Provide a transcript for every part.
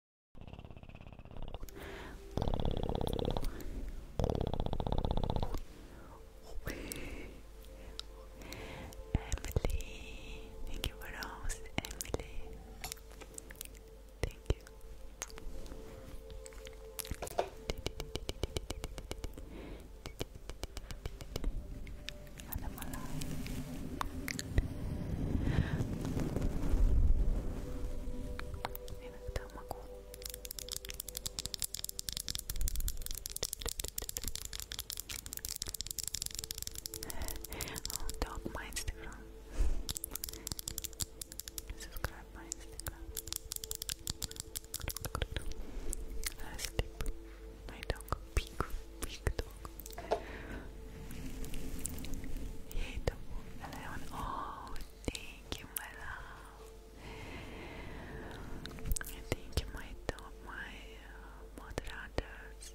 Emily, thank you for those, Emily. Thank you. Иногда могу. Oh, dog my Instagram. Subscribe my Instagram. I sleep. My dog, big, big Beautiful, Leon. Oh, thank you, my love. Thank you, my top, my uh, moderators.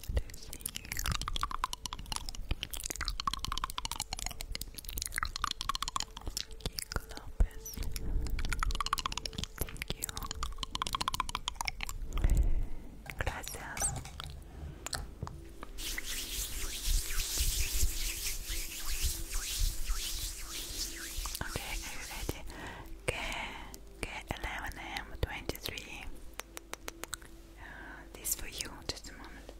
to see you. Kiko Lopez, thank you. Gracias. Okay, are you ready? K, K, 11 M, 23. Uh, this for you, just a moment.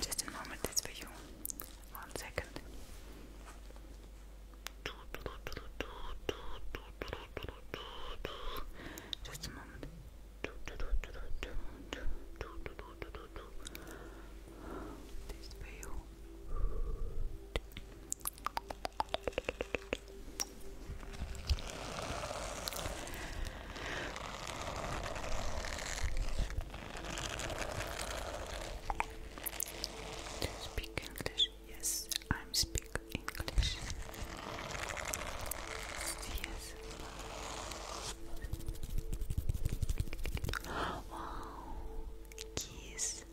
Just a moment, this for you. One second. Just a moment. This for you speak English? Yes, I'm speaking English. Yes. Wow, kiss me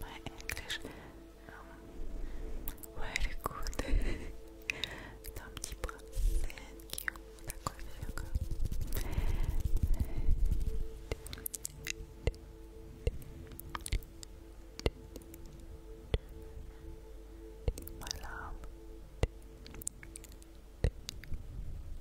My English um, very good. Thank you. My love.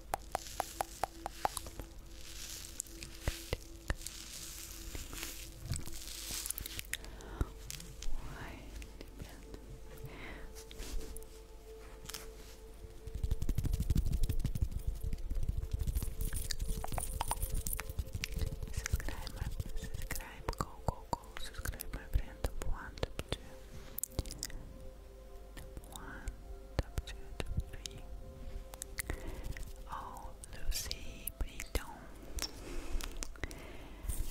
Subscribe, go, go, go, subscribe my friend, want to Top one, top two, top three. Oh, Lucy, please don't. Thank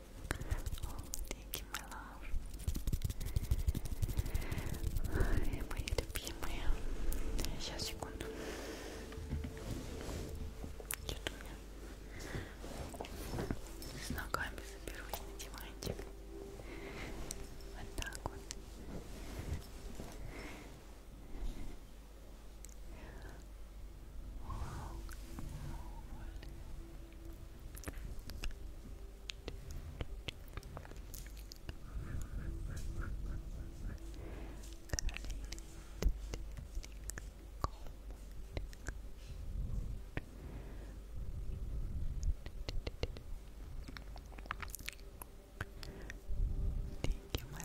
Oh, thank you, my love. Ай, мои любимые. Сейчас, секунду. Что-то у меня с ногами заберусь на диванчик. Вот так вот. Thank you, my love.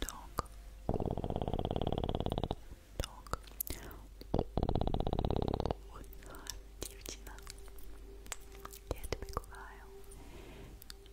Dog. Dog. Дівчина, я тебе кохаю,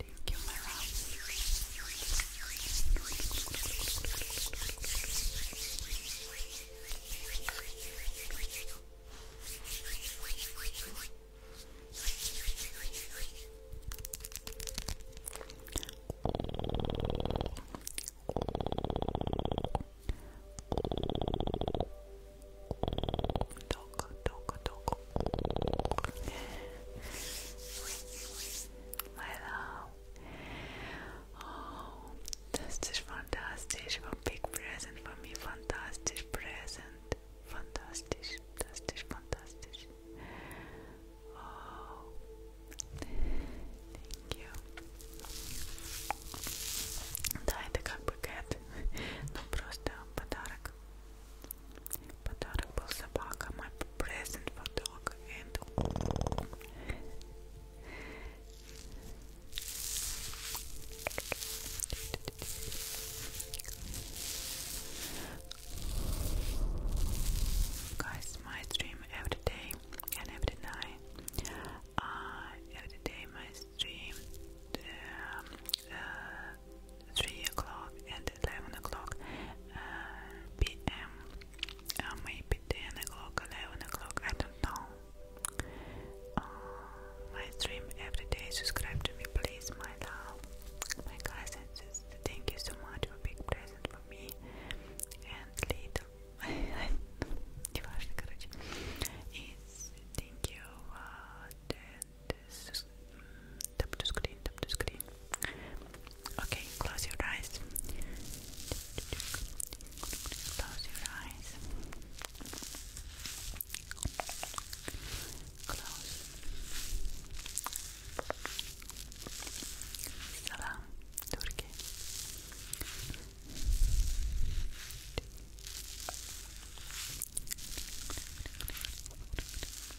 Thank you, my Dog, dog, dog. Hello. Oh, this is fantastic. One big present for me. Fantastic present. Fantastic. Fantastic. Fantastic. Oh, thank you. Да, это как бы кэт, но просто подарок. Guys, my stream every day and every night. Uh, every day my stream um, uh, 3 o'clock and 11 o'clock uh, p.m. maybe 10 o'clock, 11 o'clock, I don't know. Uh, my stream every day, subscribe to me please, my love, my cousins, thank you so much for big present for me and little, неважно, It's thank you for uh, and screen, tap screen. Okay, close your eyes. Close your eyes. Close. Salam, Turkey.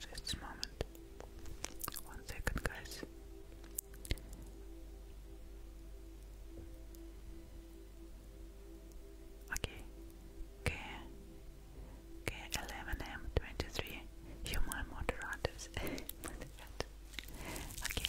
Just a moment. One second, guys. Okay. K K eleven M twenty three human moderators. okay.